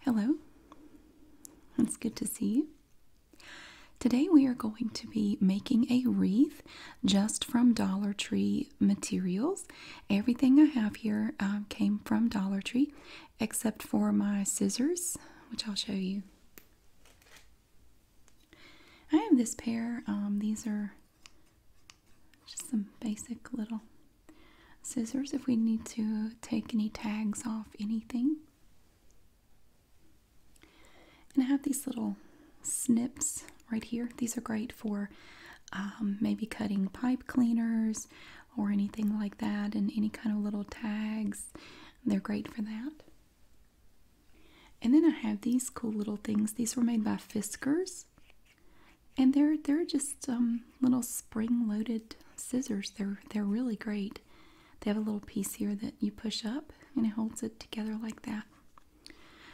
Hello, it's good to see you. Today we are going to be making a wreath just from Dollar Tree materials. Everything I have here um, came from Dollar Tree except for my scissors, which I'll show you. I have this pair, um, these are just some basic little scissors if we need to take any tags off anything. And I have these little snips right here. These are great for um, maybe cutting pipe cleaners or anything like that and any kind of little tags. They're great for that. And then I have these cool little things. These were made by Fiskars and they're they're just um, little spring-loaded scissors. They're they're really great. They have a little piece here that you push up and it holds it together like that.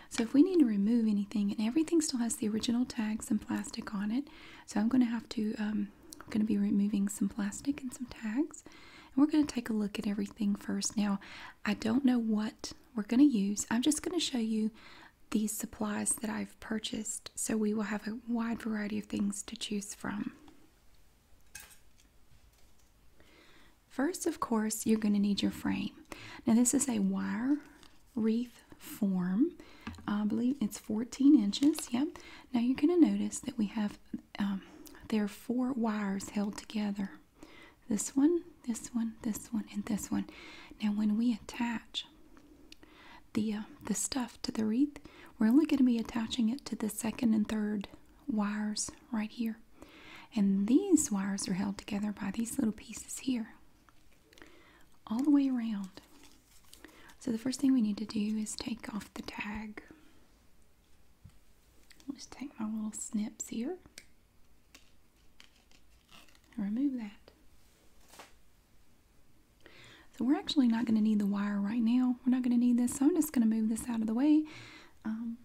So if we need to remove anything, and everything still has the original tags and plastic on it, so I'm going to have to um, going to be removing some plastic and some tags. And we're going to take a look at everything first. Now, I don't know what we're going to use. I'm just going to show you these supplies that I've purchased, so we will have a wide variety of things to choose from. First, of course, you're going to need your frame. Now, this is a wire wreath form. I believe it's 14 inches. Yep. Now, you're going to notice that we have um, there are four wires held together this one, this one, this one, and this one. Now, when we attach the uh, the stuff to the wreath we're only going to be attaching it to the second and third wires right here and these wires are held together by these little pieces here all the way around so the first thing we need to do is take off the tag I'll just take my little snips here remove that. So we're actually not going to need the wire right now. We're not going to need this, so I'm just going to move this out of the way. Um,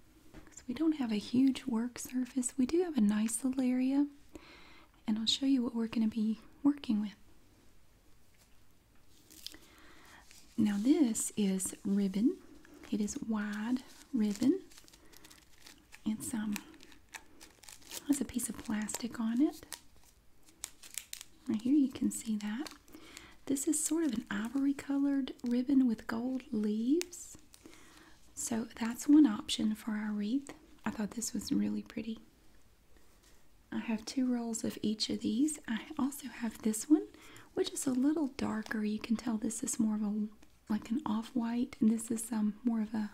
so we don't have a huge work surface. We do have a nice little area, and I'll show you what we're going to be working with. Now this is ribbon. It is wide ribbon. It's um has a piece of plastic on it. Right here you can see that. This is sort of an ivory colored ribbon with gold leaves. So that's one option for our wreath. I thought this was really pretty. I have two rolls of each of these. I also have this one, which is a little darker. You can tell this is more of a like an off-white, and this is some um, more of a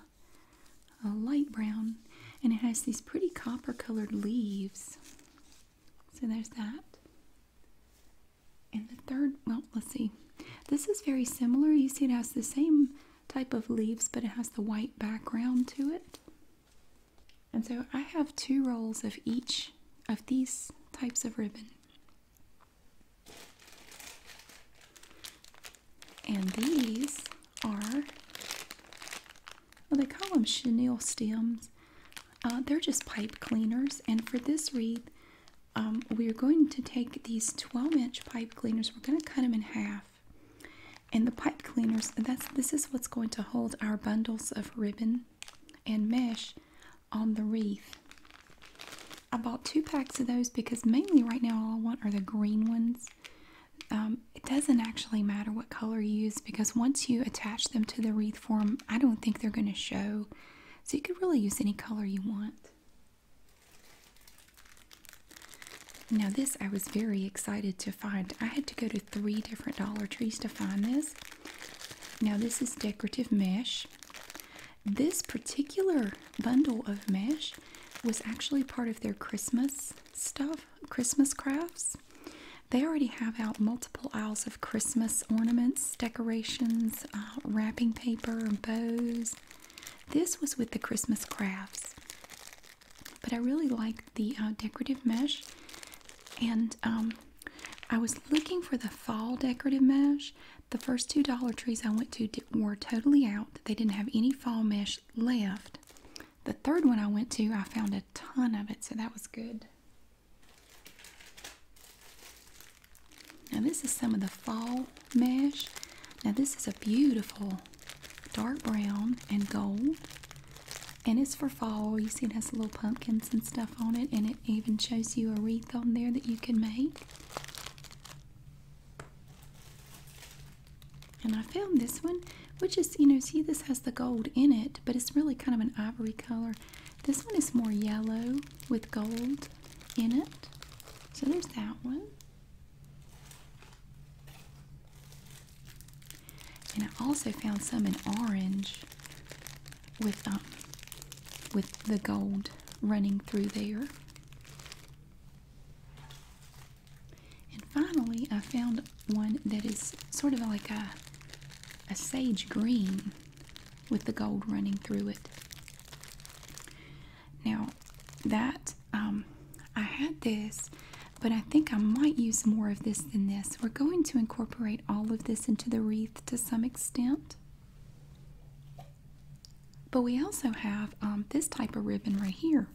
a light brown and it has these pretty copper colored leaves. So there's that. And the third, well, let's see. This is very similar. You see, it has the same type of leaves, but it has the white background to it. And so I have two rolls of each of these types of ribbon. And these are, well, they call them chenille stems. Uh, they're just pipe cleaners. And for this wreath, um, we're going to take these 12 inch pipe cleaners, we're going to cut them in half. And the pipe cleaners, that's this is what's going to hold our bundles of ribbon and mesh on the wreath. I bought two packs of those because mainly right now all I want are the green ones. Um, it doesn't actually matter what color you use because once you attach them to the wreath form, I don't think they're going to show. So you could really use any color you want. Now this I was very excited to find. I had to go to three different Dollar Trees to find this. Now this is decorative mesh. This particular bundle of mesh was actually part of their Christmas stuff, Christmas crafts. They already have out multiple aisles of Christmas ornaments, decorations, uh, wrapping paper, and bows. This was with the Christmas crafts. But I really like the uh, decorative mesh, and um, I was looking for the fall decorative mesh. The first two Dollar Trees I went to were totally out. They didn't have any fall mesh left. The third one I went to, I found a ton of it, so that was good. Now, this is some of the fall mesh. Now, this is a beautiful dark brown and gold, and it's for fall. You see, it has little pumpkins and stuff on it, and it even shows you a wreath on there that you can make. And I found this one, which is, you know, see this has the gold in it, but it's really kind of an ivory color. This one is more yellow with gold in it. So there's that one. And I also found some in orange with um, with the gold running through there. And finally, I found one that is sort of like a, a sage green with the gold running through it. Now, that, um, I had this, but I think I might use more of this than this. We're going to incorporate all of this into the wreath to some extent. But we also have um, this type of ribbon right here.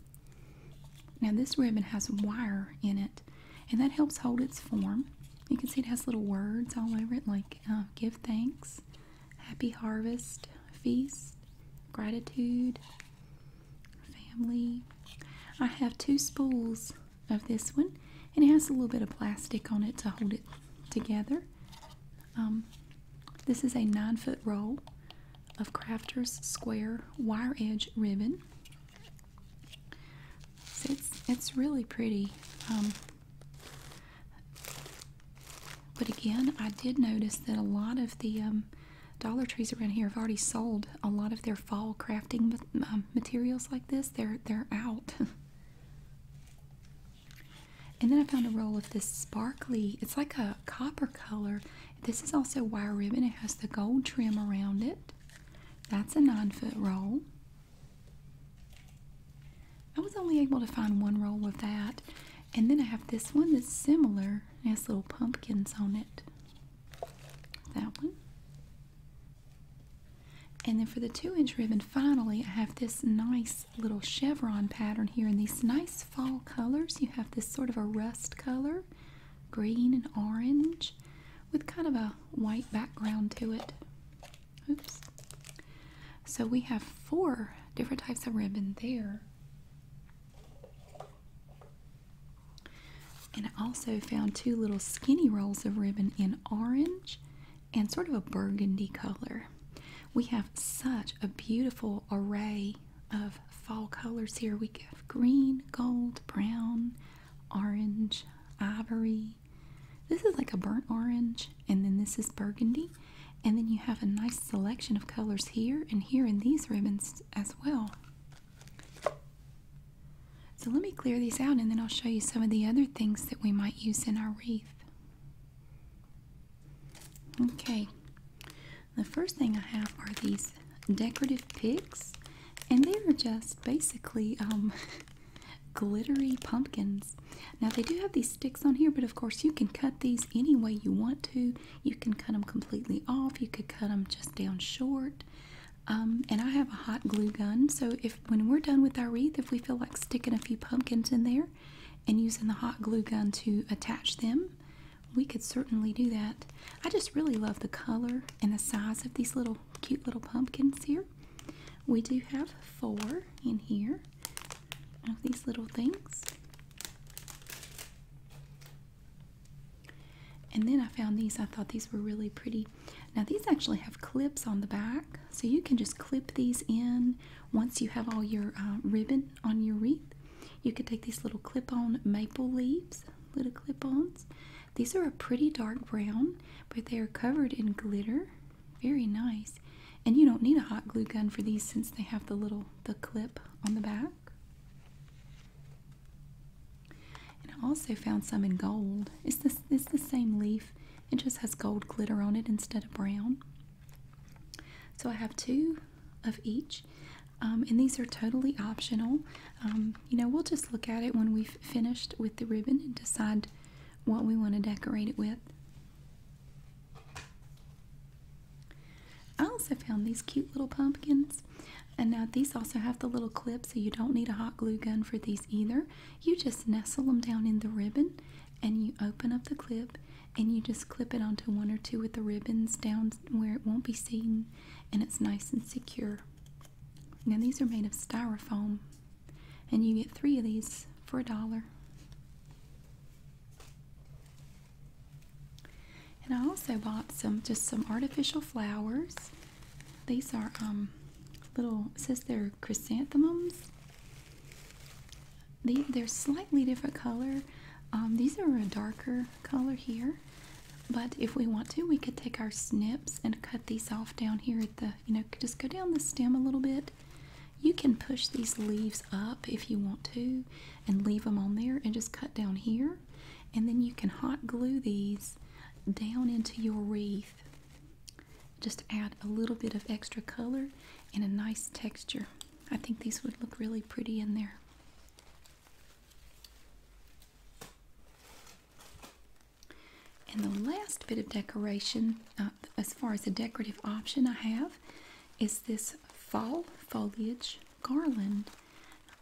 Now this ribbon has wire in it and that helps hold its form. You can see it has little words all over it like uh, give thanks, happy harvest, feast, gratitude, family. I have two spools of this one and it has a little bit of plastic on it to hold it together. Um, this is a nine foot roll of Crafters Square wire edge ribbon. it's it's really pretty. Um, but again, I did notice that a lot of the um, Dollar Trees around here have already sold a lot of their fall crafting materials like this. They're they're out. And then I found a roll of this sparkly, it's like a copper color. This is also wire ribbon. It has the gold trim around it. That's a nine foot roll. I was only able to find one roll of that. And then I have this one that's similar. It has little pumpkins on it. That one. And then for the two inch ribbon, finally, I have this nice little chevron pattern here in these nice fall colors. You have this sort of a rust color, green and orange, with kind of a white background to it. Oops. So we have four different types of ribbon there. And I also found two little skinny rolls of ribbon in orange and sort of a burgundy color. We have such a beautiful array of fall colors here. We have green, gold, brown, orange, ivory. This is like a burnt orange, and then this is burgundy. And then you have a nice selection of colors here and here in these ribbons as well. So let me clear these out and then I'll show you some of the other things that we might use in our wreath. Okay, the first thing I have are these decorative picks, and they are just basically um, glittery pumpkins. Now, they do have these sticks on here, but of course, you can cut these any way you want to. You can cut them completely off, you could cut them just down short. Um, and I have a hot glue gun, so if when we're done with our wreath, if we feel like sticking a few pumpkins in there, and using the hot glue gun to attach them, we could certainly do that. I just really love the color and the size of these little cute little pumpkins here. We do have four in here of these little things. And then I found these. I thought these were really pretty. Now these actually have clips on the back, so you can just clip these in once you have all your uh, ribbon on your wreath. You could take these little clip-on maple leaves, little clip-ons. These are a pretty dark brown, but they are covered in glitter. Very nice. And you don't need a hot glue gun for these since they have the little the clip on the back. And I also found some in gold. It's this it's the same leaf. It just has gold glitter on it instead of brown. So I have two of each, um, and these are totally optional. Um, you know, we'll just look at it when we've finished with the ribbon and decide what we want to decorate it with. I also found these cute little pumpkins. And now these also have the little clip, so you don't need a hot glue gun for these either. You just nestle them down in the ribbon and you open up the clip and you just clip it onto one or two of the ribbons down where it won't be seen and it's nice and secure. Now these are made of styrofoam and you get three of these for a dollar. And I also bought some just some artificial flowers. These are um little it says they're chrysanthemums they, are slightly different color. Um, these are a darker color here, but if we want to, we could take our snips and cut these off down here at the, you know, just go down the stem a little bit. You can push these leaves up if you want to and leave them on there and just cut down here. And then you can hot glue these down into your wreath. Just add a little bit of extra color and a nice texture. I think these would look really pretty in there. And the last bit of decoration, uh, as far as a decorative option I have, is this fall foliage garland.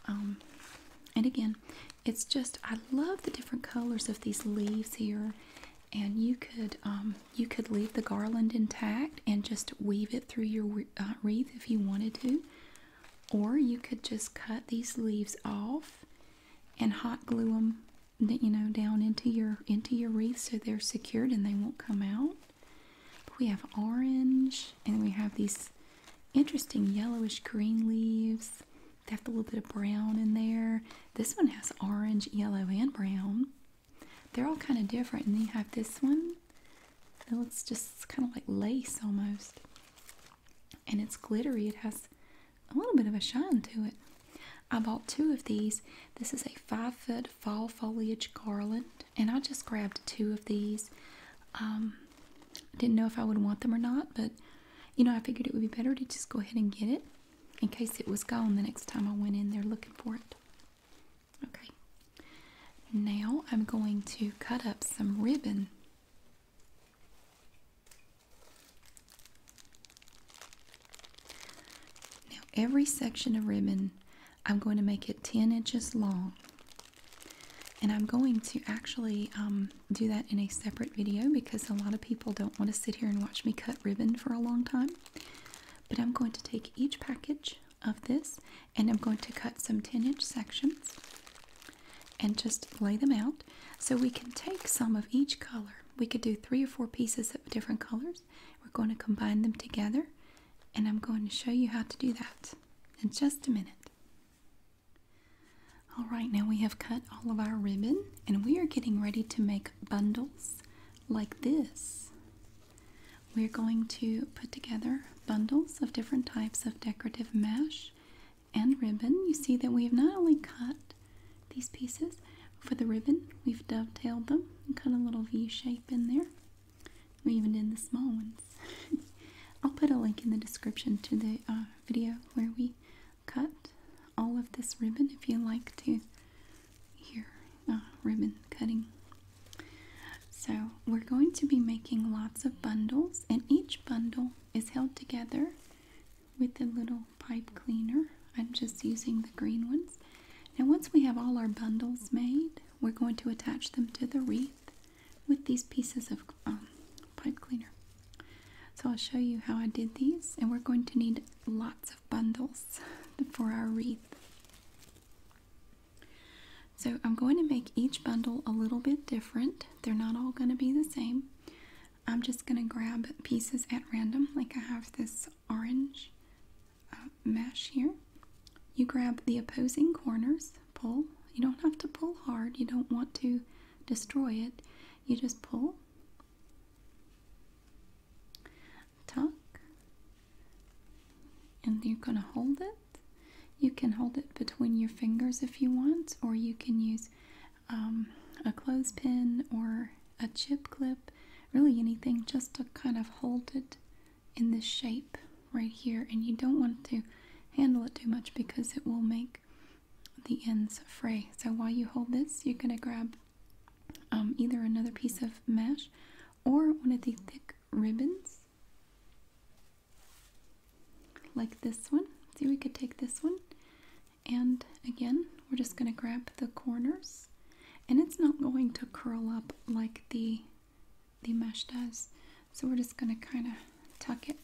Um, and again, it's just, I love the different colors of these leaves here. And you could um, you could leave the garland intact and just weave it through your uh, wreath if you wanted to, or you could just cut these leaves off and hot glue them, you know, down into your into your wreath so they're secured and they won't come out. we have orange, and we have these interesting yellowish green leaves. They have a little bit of brown in there. This one has orange, yellow, and brown. They're all kind of different. And then you have this one. that looks just kind of like lace almost. And it's glittery. It has a little bit of a shine to it. I bought two of these. This is a five foot fall foliage garland. And I just grabbed two of these. Um, didn't know if I would want them or not, but you know, I figured it would be better to just go ahead and get it in case it was gone the next time I went in there looking for it. Okay. Now I'm going to cut up some ribbon. Now every section of ribbon I'm going to make it 10 inches long. And I'm going to actually um, do that in a separate video because a lot of people don't want to sit here and watch me cut ribbon for a long time. But I'm going to take each package of this and I'm going to cut some 10 inch sections and just lay them out so we can take some of each color. We could do three or four pieces of different colors. We're going to combine them together and I'm going to show you how to do that in just a minute. All right, now we have cut all of our ribbon and we are getting ready to make bundles like this. We're going to put together bundles of different types of decorative mesh and ribbon. You see that we have not only cut these pieces, for the ribbon we've dovetailed them and cut a little V shape in there. We even did the small ones. I'll put a link in the description to the uh, video where we cut all of this ribbon if you like to here uh, ribbon cutting so we're going to be making lots of bundles and each bundle is held together with a little pipe cleaner I'm just using the green ones now once we have all our bundles made we're going to attach them to the wreath with these pieces of um, pipe cleaner so I'll show you how I did these and we're going to need lots of bundles for our wreath so I'm going to make each bundle a little bit different. They're not all going to be the same. I'm just going to grab pieces at random, like I have this orange uh, mesh here. You grab the opposing corners, pull. You don't have to pull hard, you don't want to destroy it. You just pull, tuck, and you're going to hold it. You can hold it between your fingers if you want, or you can use um, a clothespin or a chip clip, really anything just to kind of hold it in this shape right here. And you don't want to handle it too much because it will make the ends fray. So while you hold this, you're going to grab um, either another piece of mesh or one of the thick ribbons like this one. See, we could take this one and again, we're just going to grab the corners and it's not going to curl up like the, the mesh does. So we're just going to kind of tuck it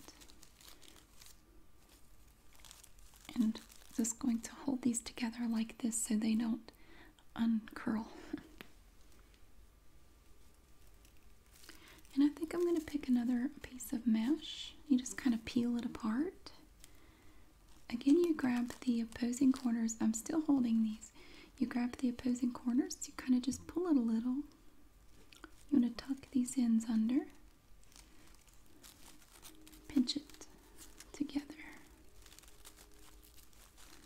and just going to hold these together like this so they don't uncurl. And I think I'm going to pick another piece of mesh. You just kind of peel it apart. Again, you grab the opposing corners. I'm still holding these. You grab the opposing corners, you kind of just pull it a little. You want to tuck these ends under, pinch it together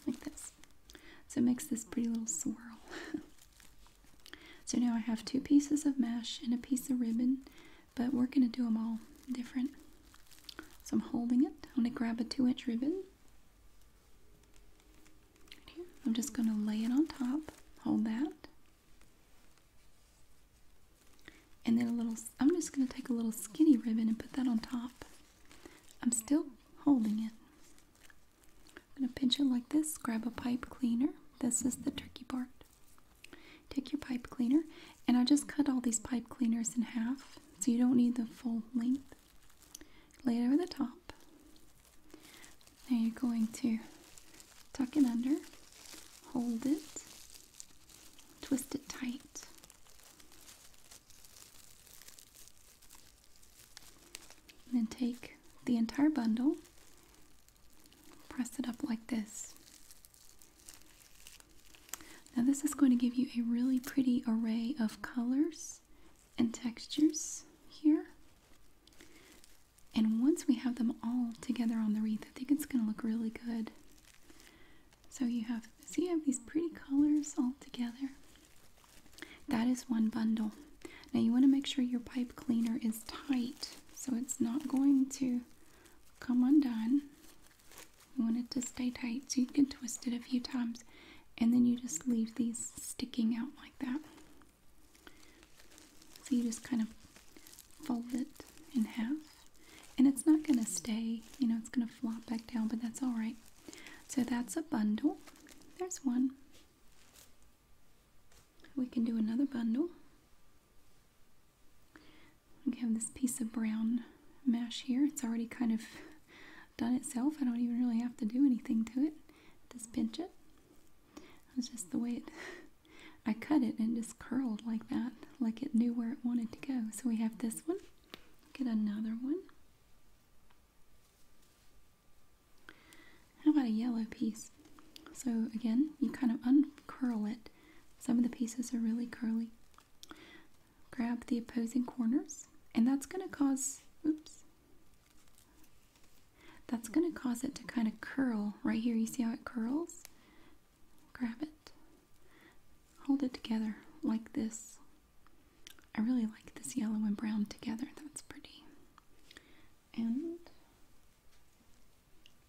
like this. So it makes this pretty little swirl. so now I have two pieces of mesh and a piece of ribbon, but we're going to do them all different. So I'm holding it. I'm going to grab a two inch ribbon. I'm just going to lay it on top, hold that and then a little I'm just going to take a little skinny ribbon and put that on top I'm still holding it I'm going to pinch it like this grab a pipe cleaner this is the turkey part take your pipe cleaner and I just cut all these pipe cleaners in half so you don't need the full length lay it over the top now you're going to tuck it under hold it Twist it tight. And then take the entire bundle, press it up like this. Now, this is going to give you a really pretty array of colors and textures here. And once we have them all together on the wreath, I think it's going to look really good. So you have, see, you have these pretty colors all together. That is one bundle. Now you want to make sure your pipe cleaner is tight so it's not going to come undone. You want it to stay tight so you can twist it a few times and then you just leave these sticking out like that. So you just kind of fold it in half and it's not going to stay, you know, it's going to flop back down, but that's all right. So that's a bundle. There's one. We can do another bundle. We have this piece of brown mesh here. It's already kind of done itself. I don't even really have to do anything to it. Just pinch it. It's just the way it, I cut it and it just curled like that, like it knew where it wanted to go. So we have this one. Get another one. How about a yellow piece? So again, you kind of uncurl it. Some of the pieces are really curly. Grab the opposing corners, and that's going to cause, oops, that's going to cause it to kind of curl. Right here, you see how it curls? grab it, hold it together like this. I really like this yellow and brown together, that's pretty. And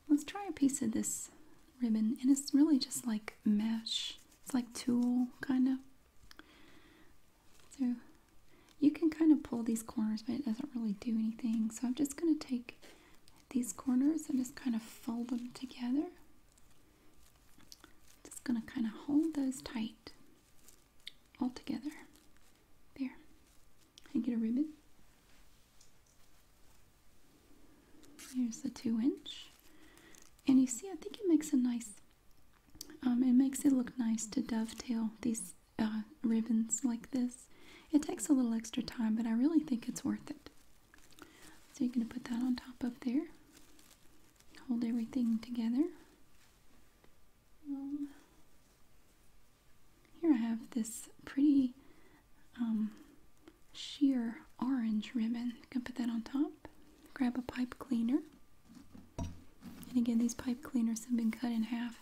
let's try a piece of this ribbon, and it's really just like mesh, it's like tulle kind of. So you can kind of pull these corners, but it doesn't really do anything. So I'm just going to take these corners and just kind of fold them together just going to kind of hold those tight all together. There. And get a ribbon. Here's the two inch. And you see, I think it makes a nice, um, it makes it look nice to dovetail these uh, ribbons like this. It takes a little extra time, but I really think it's worth it. So you're going to put that on top of there. Hold everything together. Um, here I have this pretty um, sheer orange ribbon. You can put that on top. Grab a pipe cleaner. And again, these pipe cleaners have been cut in half.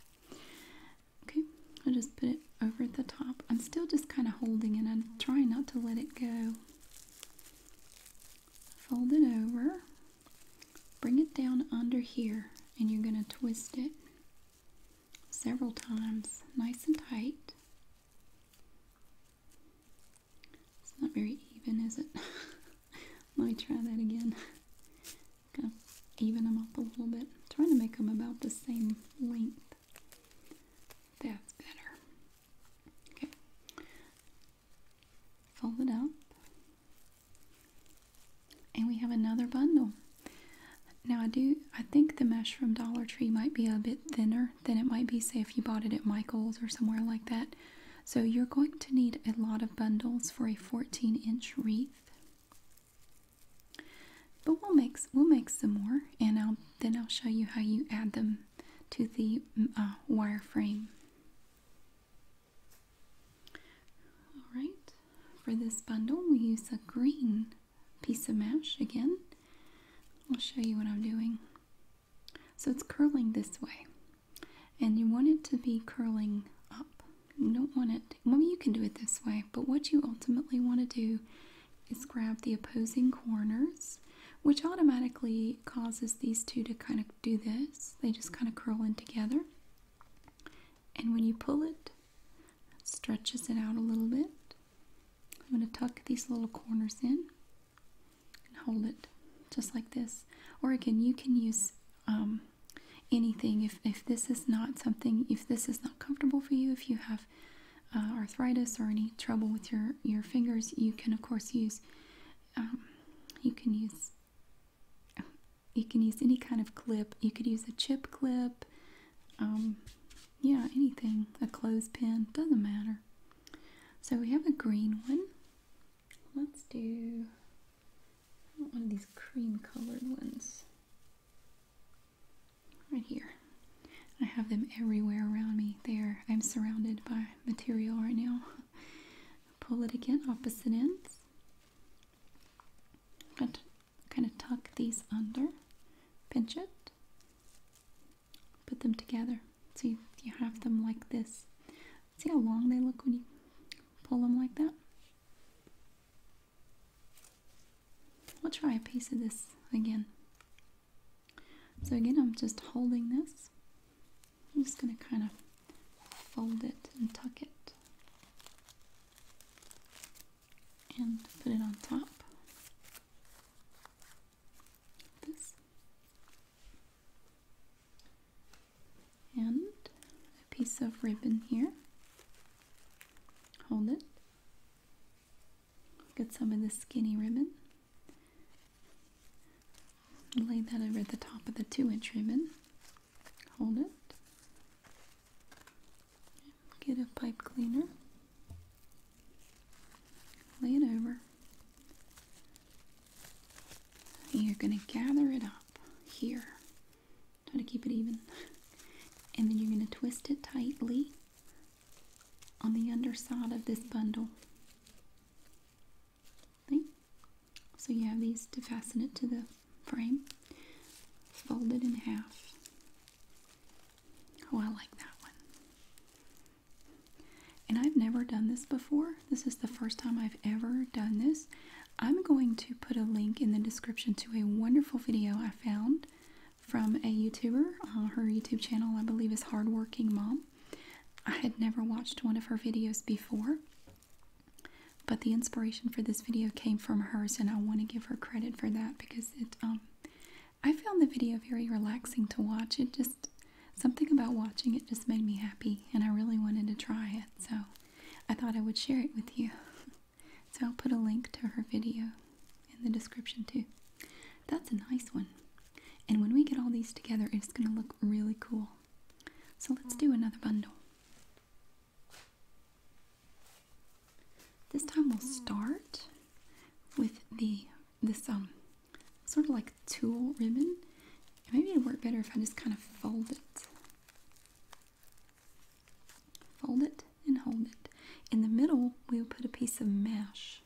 Okay, I'll just put it over at the top. I'm still just kind of holding it. I'm trying not to let it go. Fold it over. Bring it down under here and you're going to twist it several times, nice and tight. It's not very even, is it? Let me try that again. even them up a little bit. trying to make them about the same length. That's better. Okay. Fold it up. And we have another bundle. Now I do I think the mesh from Dollar Tree might be a bit thinner than it might be say if you bought it at Michael's or somewhere like that. So you're going to need a lot of bundles for a 14 inch wreath. But we'll make we'll make some more and I'll then I'll show you how you add them to the mm, uh, wire frame. Alright, for this bundle we use a green piece of mesh again. I'll show you what I'm doing. So it's curling this way. And you want it to be curling up. You don't want it, well you can do it this way, but what you ultimately want to do is grab the opposing corners, which automatically causes these two to kind of do this. They just kind of curl in together. And when you pull it, stretches it out a little bit. I'm going to tuck these little corners in and hold it just like this. Or again, you can use um, anything. If, if this is not something, if this is not comfortable for you, if you have uh, arthritis or any trouble with your your fingers, you can of course use um, you can use you can use any kind of clip. You could use a chip clip, um, yeah, anything, a clothespin, doesn't matter. So we have a green one. Let's do one of these cream colored ones right here. I have them everywhere around me. There, I'm surrounded by material right now. Pull it again, opposite ends. kind of tuck these under, pinch it, put them together. So you, you have them like this. See how long they look when you pull them like that? We'll try a piece of this again. So again, I'm just holding this. I'm just going to kind of fold it and tuck it and put it on top. this. And a piece of ribbon here. Hold it. Get some of the skinny ribbon. Lay that over the top of the two inch ribbon. Hold it. Get a pipe cleaner. Lay it over. you're going to gather it up here. Try to keep it even. And then you're going to twist it tightly on the underside of this bundle. See? So you have these to fasten it to the frame. Fold it in half. Oh, I like that one. And I've never done this before. This is the first time I've ever done this. I'm going to put a link in the description to a wonderful video I found from a YouTuber. Uh, her YouTube channel, I believe, is Hardworking Mom. I had never watched one of her videos before, but the inspiration for this video came from hers, and I want to give her credit for that because it. Um, I found the video very relaxing to watch. It just something about watching it just made me happy, and I really wanted to try it. So I thought I would share it with you. so I'll put a link to her video in the description too. That's a nice one. And when we get all these together, it's going to look really cool. So let's do another bundle. This time we'll start with the this um sort of like tulle ribbon. Maybe it'd work better if I just kind of fold it. Fold it and hold it. In the middle, we'll put a piece of mesh.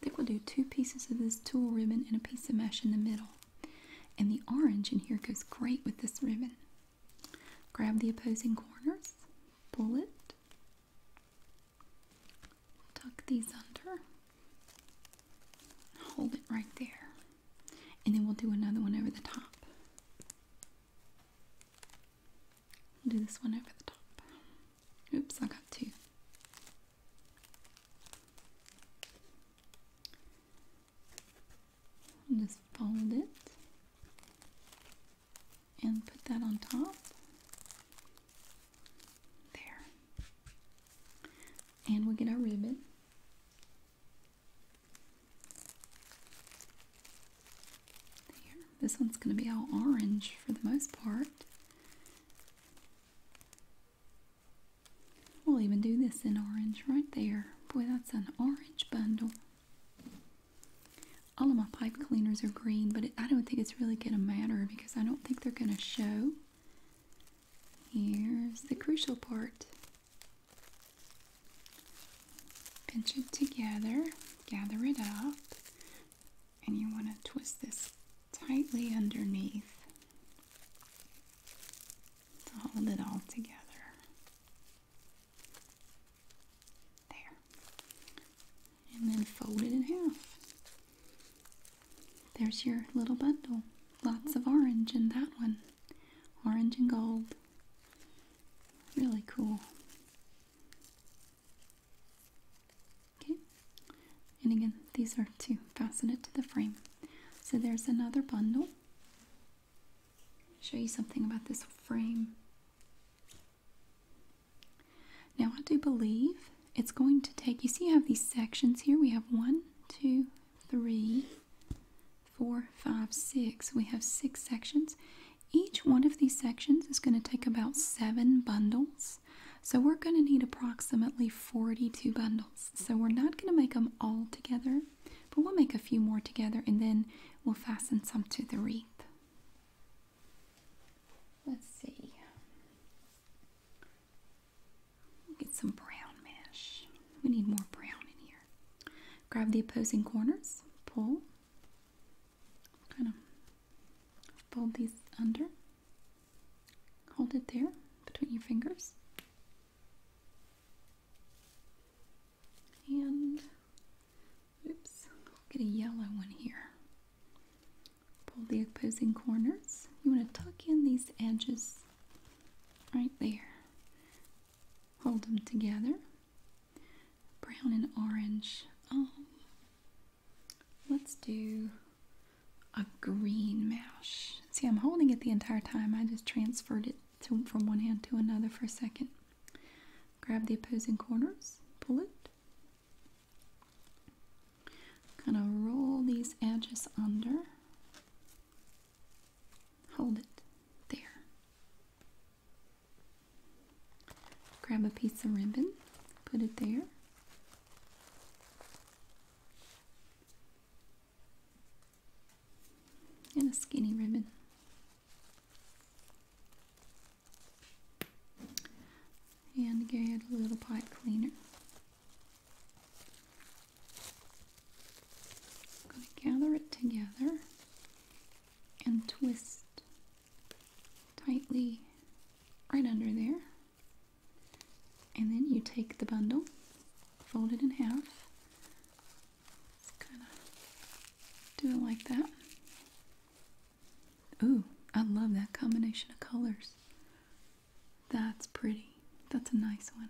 I think we'll do two pieces of this tulle ribbon and a piece of mesh in the middle. And the orange in here goes great with this ribbon. Grab the opposing corners, pull it, tuck these under, hold it right there. And then we'll do another one over the top. I'll do this one over the top. Oops, I got 2 just fold it and put that on top. There. And we'll get our ribbon this one's going to be all orange for the most part. We'll even do this in orange right there. Boy, that's an orange bundle. All of my pipe cleaners are green, but I don't think it's really going to matter because I don't think they're going to show. Here's the crucial part. Pinch it together, gather it up and you want to twist this tightly underneath to hold it all together. There. And then fold it in half. There's your little bundle. Lots of orange in that one. Orange and gold. Really cool. Okay, and again, these are to fasten it to the frame. So there's another bundle. Show you something about this frame. Now, I do believe it's going to take you see, you have these sections here. We have one, two, three, four, five, six. We have six sections, each one of these sections is going to take about seven bundles. So we're going to need approximately 42 bundles. So we're not going to make them all together, but we'll make a few more together and then we'll fasten some to the wreath. Let's see. get some brown mesh. We need more brown in here. Grab the opposing corners, pull, kind of fold these under, hold it there between your fingers, and oops, get a yellow one here. Pull the opposing corners. You want to tuck in these edges right there. Hold them together brown and orange. Um, let's do a green mash. See, I'm holding it the entire time. I just transferred it from one hand to another for a second. Grab the opposing corners, pull it. Kind of roll these edges under. Hold it. There. Grab a piece of ribbon, put it there. And a skinny ribbon. And get a little pipe cleaner. gather it together and twist tightly right under there. And then you take the bundle, fold it in half. Just kind of do it like that. Ooh, I love that combination of colors. That's pretty. That's a nice one.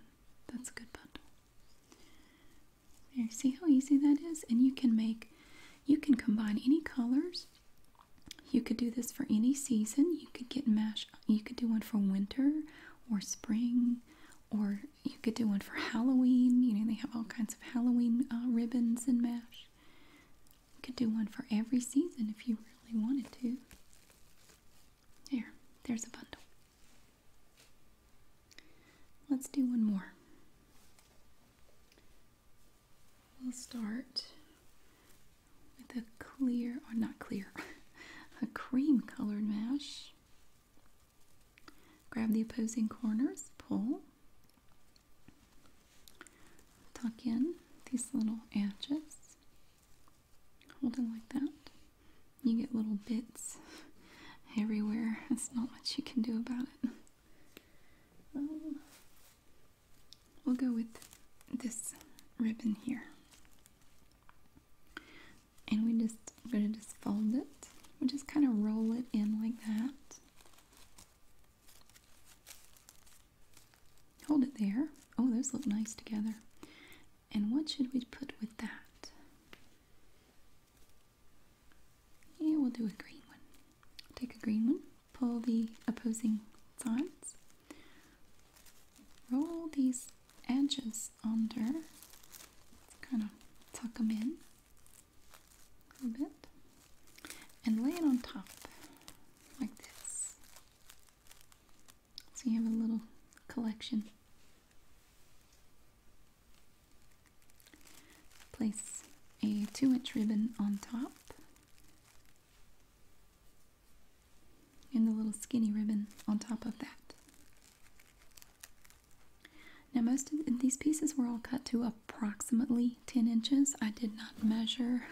That's a good bundle. There, see how easy that is? And you can make you can combine any colors. You could do this for any season. You could get mash you could do one for winter or spring or you could do one for Halloween. You know, they have all kinds of Halloween uh, ribbons and mash. You could do one for every season if you really wanted to. There, there's a bundle. Let's do one more. We'll start with a clear, or not clear, a cream colored mesh. Grab the opposing corners, pull, tuck in these little edges, hold it like that. You get little bits everywhere. That's not much you can do about it. Um, we'll go with this ribbon here. And we just gonna just fold it. We just kind of roll it in like that. Hold it there. Oh, those look nice together. And what should we put with that? Yeah, we'll do a green one. Take a green one, pull the opposing sides, roll these edges under, kind of tuck them in a little bit, and lay it on top like this. So you have a little collection. Place a 2 inch ribbon on top and the little skinny ribbon on top of that. Now most of these pieces were all cut to approximately 10 inches. I did not measure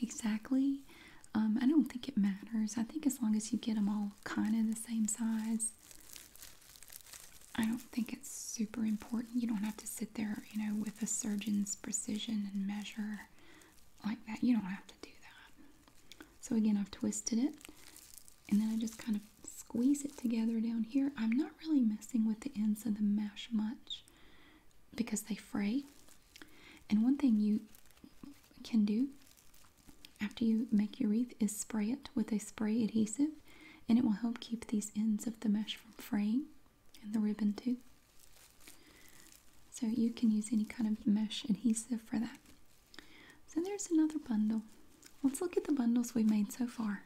exactly. Um, I don't think it matters. I think as long as you get them all kind of the same size, I don't think it's super important. You don't have to sit there, you know, with a surgeon's precision and measure like that. You don't have to do that. So again, I've twisted it and then I just kind of squeeze it together down here. I'm not really messing with the ends of the mesh much because they fray. And one thing you can do after you make your wreath is spray it with a spray adhesive and it will help keep these ends of the mesh from fraying and the ribbon too. So you can use any kind of mesh adhesive for that. So there's another bundle. Let's look at the bundles we have made so far.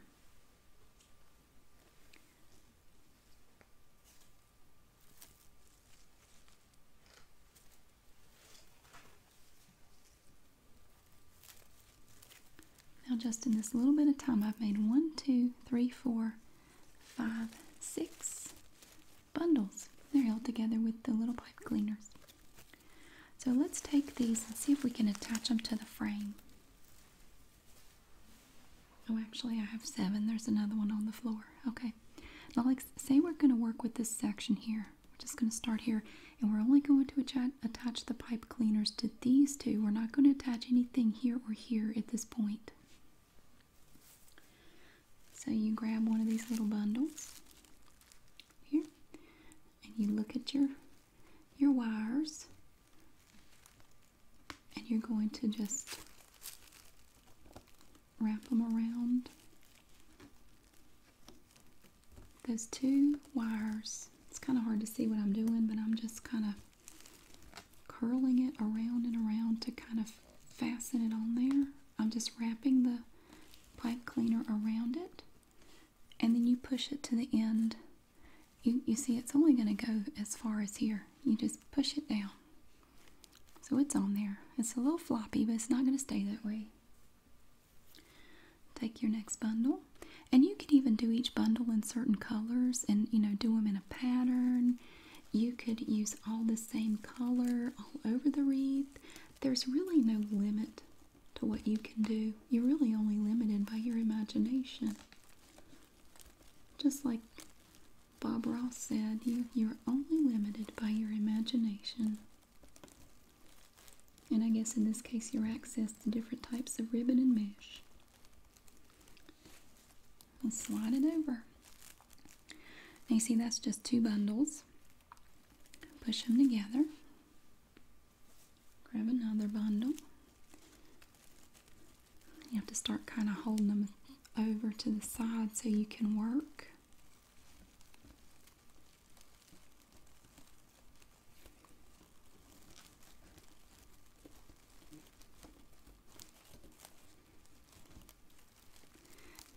Now just in this little bit of time I've made one, two, three, four, five, six bundles. They're held together with the little pipe cleaners. So let's take these and see if we can attach them to the frame. Oh, actually, I have seven. There's another one on the floor. Okay. Now, let's say we're going to work with this section here. We're just going to start here, and we're only going to attach attach the pipe cleaners to these two. We're not going to attach anything here or here at this point. So you grab one of these little bundles here and you look at your your wires and you're going to just wrap them around those two wires. It's kind of hard to see what I'm doing, but I'm just kind of curling it around and around to kind of fasten it on there. I'm just wrapping the pipe cleaner around it and then you push it to the end. You, you see it's only going to go as far as here. You just push it down. So it's on there. It's a little floppy, but it's not going to stay that way. Take your next bundle and you can even do each bundle in certain colors and you know do them in a pattern you could use all the same color all over the wreath there's really no limit to what you can do you're really only limited by your imagination just like bob ross said you you're only limited by your imagination and i guess in this case your access to different types of ribbon and mesh and slide it over. Now you see that's just two bundles. Push them together. Grab another bundle. You have to start kind of holding them over to the side so you can work.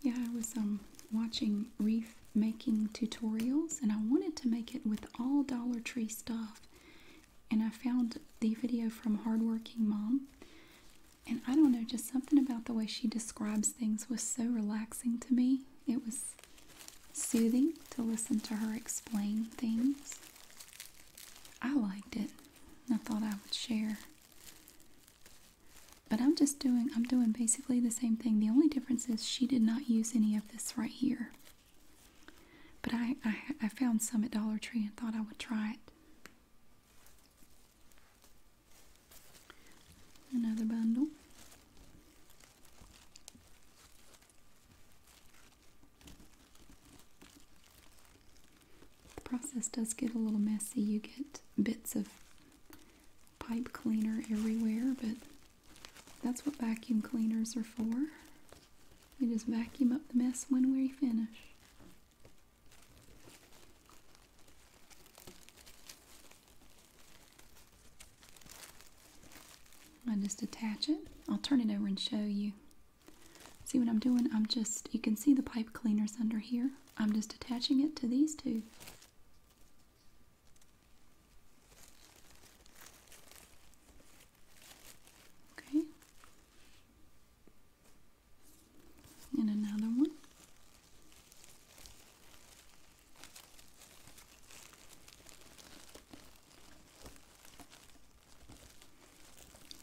Yeah, I was um, watching reef making tutorials and I wanted to make it with all Dollar Tree stuff. And I found the video from Hardworking Mom. And I don't know, just something about the way she describes things was so relaxing to me. It was soothing to listen to her explain things. I liked it. I thought I would share. But I'm just doing, I'm doing basically the same thing. The only difference is she did not use any of this right here. But I, I, found some at Dollar Tree and thought I would try it. Another bundle. The process does get a little messy. You get bits of pipe cleaner everywhere, but that's what vacuum cleaners are for. We just vacuum up the mess when we finish. I just attach it. I'll turn it over and show you. See what I'm doing? I'm just, you can see the pipe cleaners under here. I'm just attaching it to these two. Okay. And another one.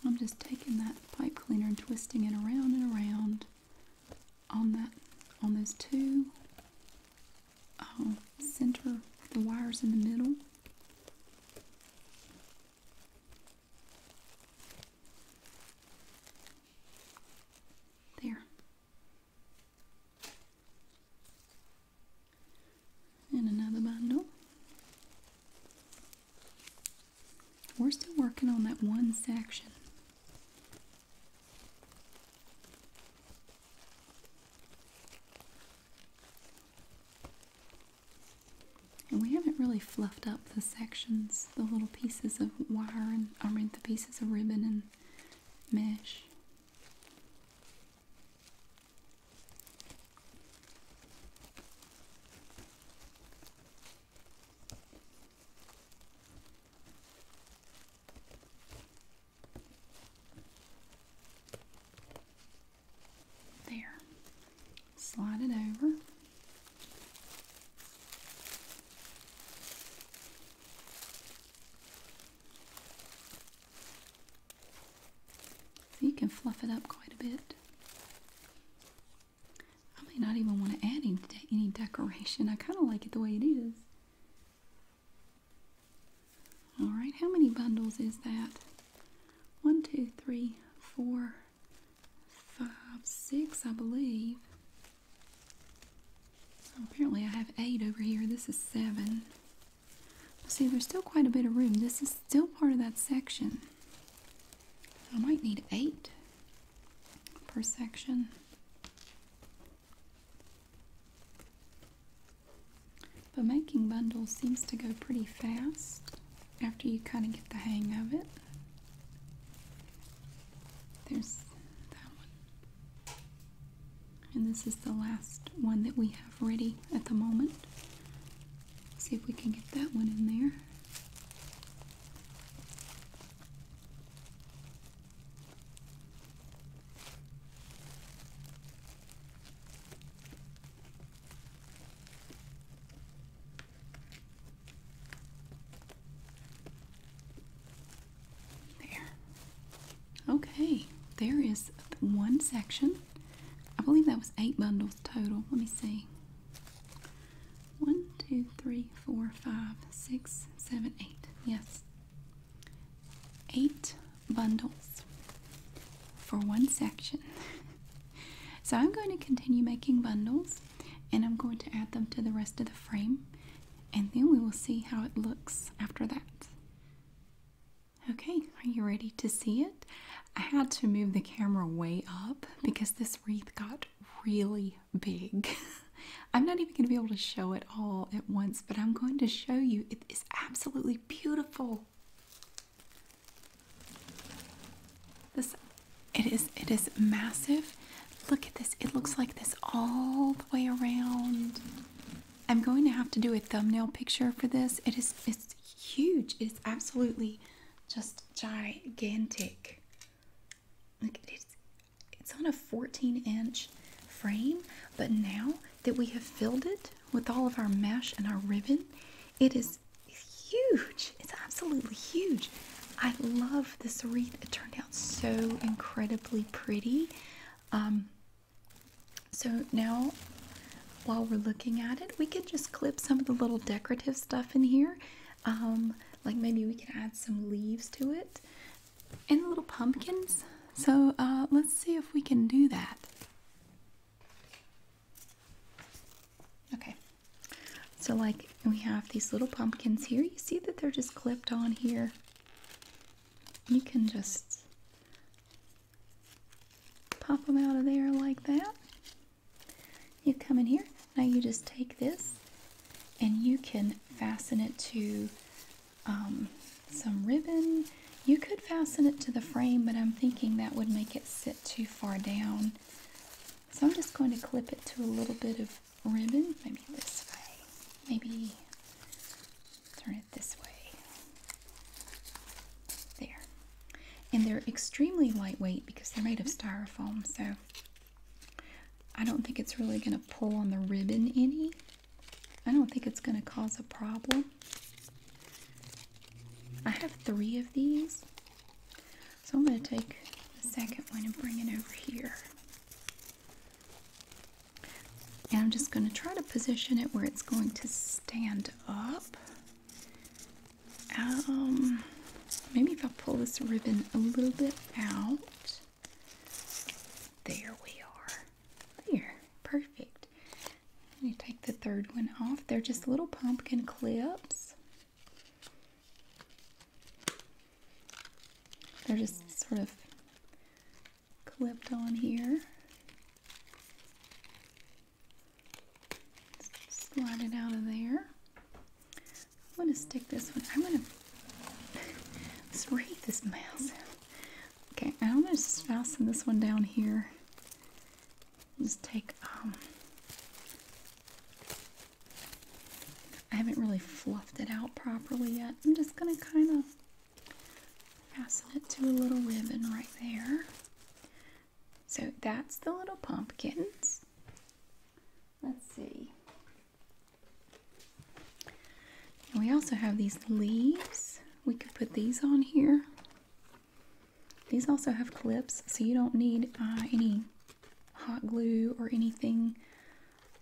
I'm just taking that pipe cleaner and twisting it around and around on that on those two um, center the wires in the middle. There and another bundle. We're still working on that one section. And we haven't really fluffed up the sections, the little pieces of wire and, I mean, the pieces of ribbon and mesh. There, slide it over. You can fluff it up quite a bit. I may not even want to add any, any decoration. I kind of like it the way it is. Alright, how many bundles is that? One, two, three, four, five, six, I believe. So Apparently I have eight over here. This is seven. See, there's still quite a bit of room. This is still part of that section. I might need eight per section. But making bundles seems to go pretty fast after you kind of get the hang of it. There's that one. And this is the last one that we have ready at the moment. See if we can get that one in there. There. Okay, there is one section. I believe that was eight bundles total. Let me see. One, two, three, four, five, six, seven, eight. Yes. Eight bundles for one section. so I'm going to continue making bundles and I'm going to add them to the rest of the frame and then we will see how it looks after that. Okay, are you ready to see it? I had to move the camera way up because this wreath got really big. I'm not even going to be able to show it all at once, but I'm going to show you. It is absolutely beautiful. This it is it is massive. Look at this. It looks like this all the way around. I'm going to have to do a thumbnail picture for this. It is it's huge. It's absolutely just gigantic. Like it's it's on a 14 inch frame, but now that we have filled it with all of our mesh and our ribbon, it is huge. It's absolutely huge. I love this wreath. It turned out so incredibly pretty. Um, so now while we're looking at it, we could just clip some of the little decorative stuff in here. Um, like maybe we can add some leaves to it and little pumpkins. So uh, let's see if we can do that. Okay, so like we have these little pumpkins here. You see that they're just clipped on here. You can just Pop them out of there like that. You come in here. Now you just take this and you can fasten it to um, some ribbon. You could fasten it to the frame, but I'm thinking that would make it sit too far down. So I'm just going to clip it to a little bit of ribbon, maybe this way, maybe turn it this way. There. And they're extremely lightweight because they're made of mm-hmm. styrofoam, so I don't think it's really going to pull on the ribbon any. I don't think it's going to cause a problem. I have three of these. So I'm going to take the second one and bring it over here. And I'm just going to try to position it where it's going to stand up. Um, maybe if I pull this ribbon a little bit out. There we are. There. Perfect. You take the third one off. They're just little pumpkin clips. They're just sort of clipped on here. Slide it out of there. I'm gonna stick this one. I'm gonna let read this mouse. Okay, I'm gonna just fasten this one down here. Just take um, I haven't really fluffed it out properly yet. I'm just gonna kind of Fasten it to a little ribbon right there. So that's the little pumpkins. Let's see. we also have these leaves. We could put these on here. These also have clips, so you don't need uh, any hot glue or anything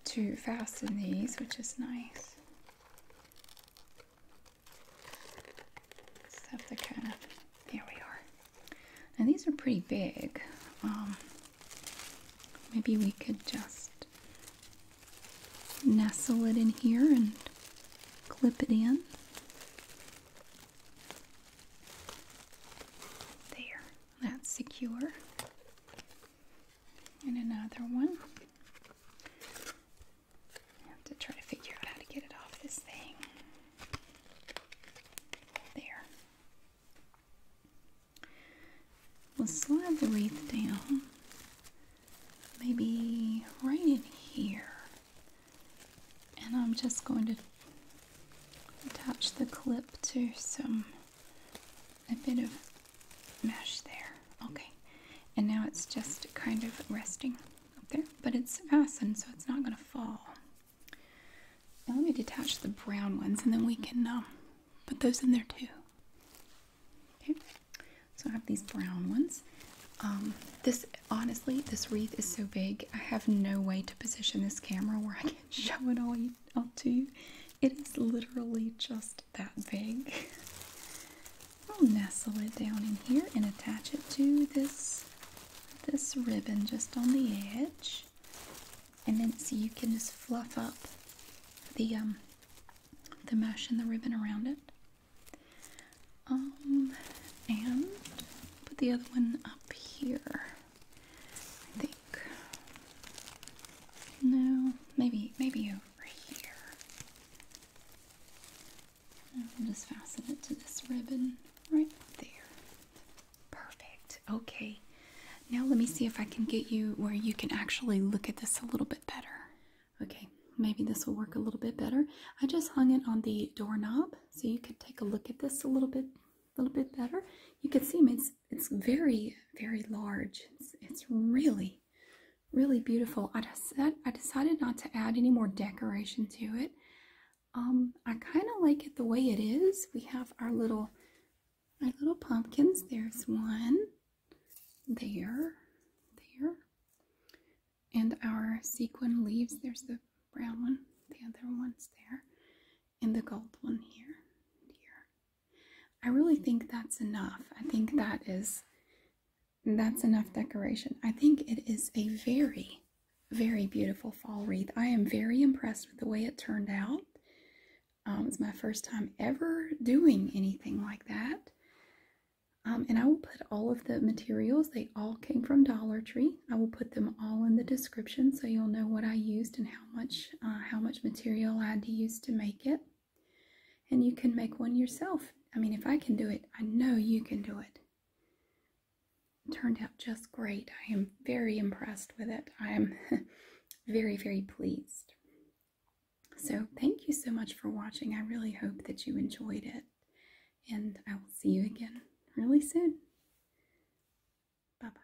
to fasten these, which is nice. Stuff that kind of, here we are. Now these are pretty big. Um, maybe we could just nestle it in here and clip it in. There, that's secure. And another one to try to figure out how to get it off this thing. There. We'll slide the wreath down, maybe right in here. And I'm just going to attach the clip to some, a bit of mesh there. Okay, and now it's just kind of resting up there, but it's fastened so it's not going to fall. let me detach the brown ones and then we can um, put those in there too. Okay, so I have these brown ones. Um, this honestly, this wreath is so big, I have no way to position this camera where I can show it all to you. It is literally just that big. I'll nestle it down in here and attach it to this this ribbon just on the edge. And then so you can just fluff up the um the mesh and the ribbon around it. Um and put the other one up here. I think. No, maybe maybe you over here. And will just fasten it to this ribbon right there. Perfect. Okay. Now let me see if I can get you where you can actually look at this a little bit better. Okay, maybe this will work a little bit better. I just hung it on the doorknob so you can take a look at this a little bit a little bit better. You can see it's it's very very large. It's it's really really, beautiful. I, decided, not to add any more decoration to it. Um, I kind of like it the way it is. We have our little, our little pumpkins. There's one, there, there, and our sequin leaves. There's the brown one, the other one's there, and the gold one here, here. I really think that's enough. I think that is that's enough decoration. I think it is a very, very beautiful fall wreath. I am very impressed with the way it turned out. Um, it's my first time ever doing anything like that. Um, and I will put all of the materials, they all came from Dollar Tree. I will put them all in the description so you'll know what I used and how much, uh, how much material I had to use to make it. And you can make one yourself. I mean, if I can do it, I know you can do it. it turned out just great. I am very impressed with it. I am very, very pleased. So, thank you so much for watching. I really hope that you enjoyed it. And I will see you again really soon. Bye bye.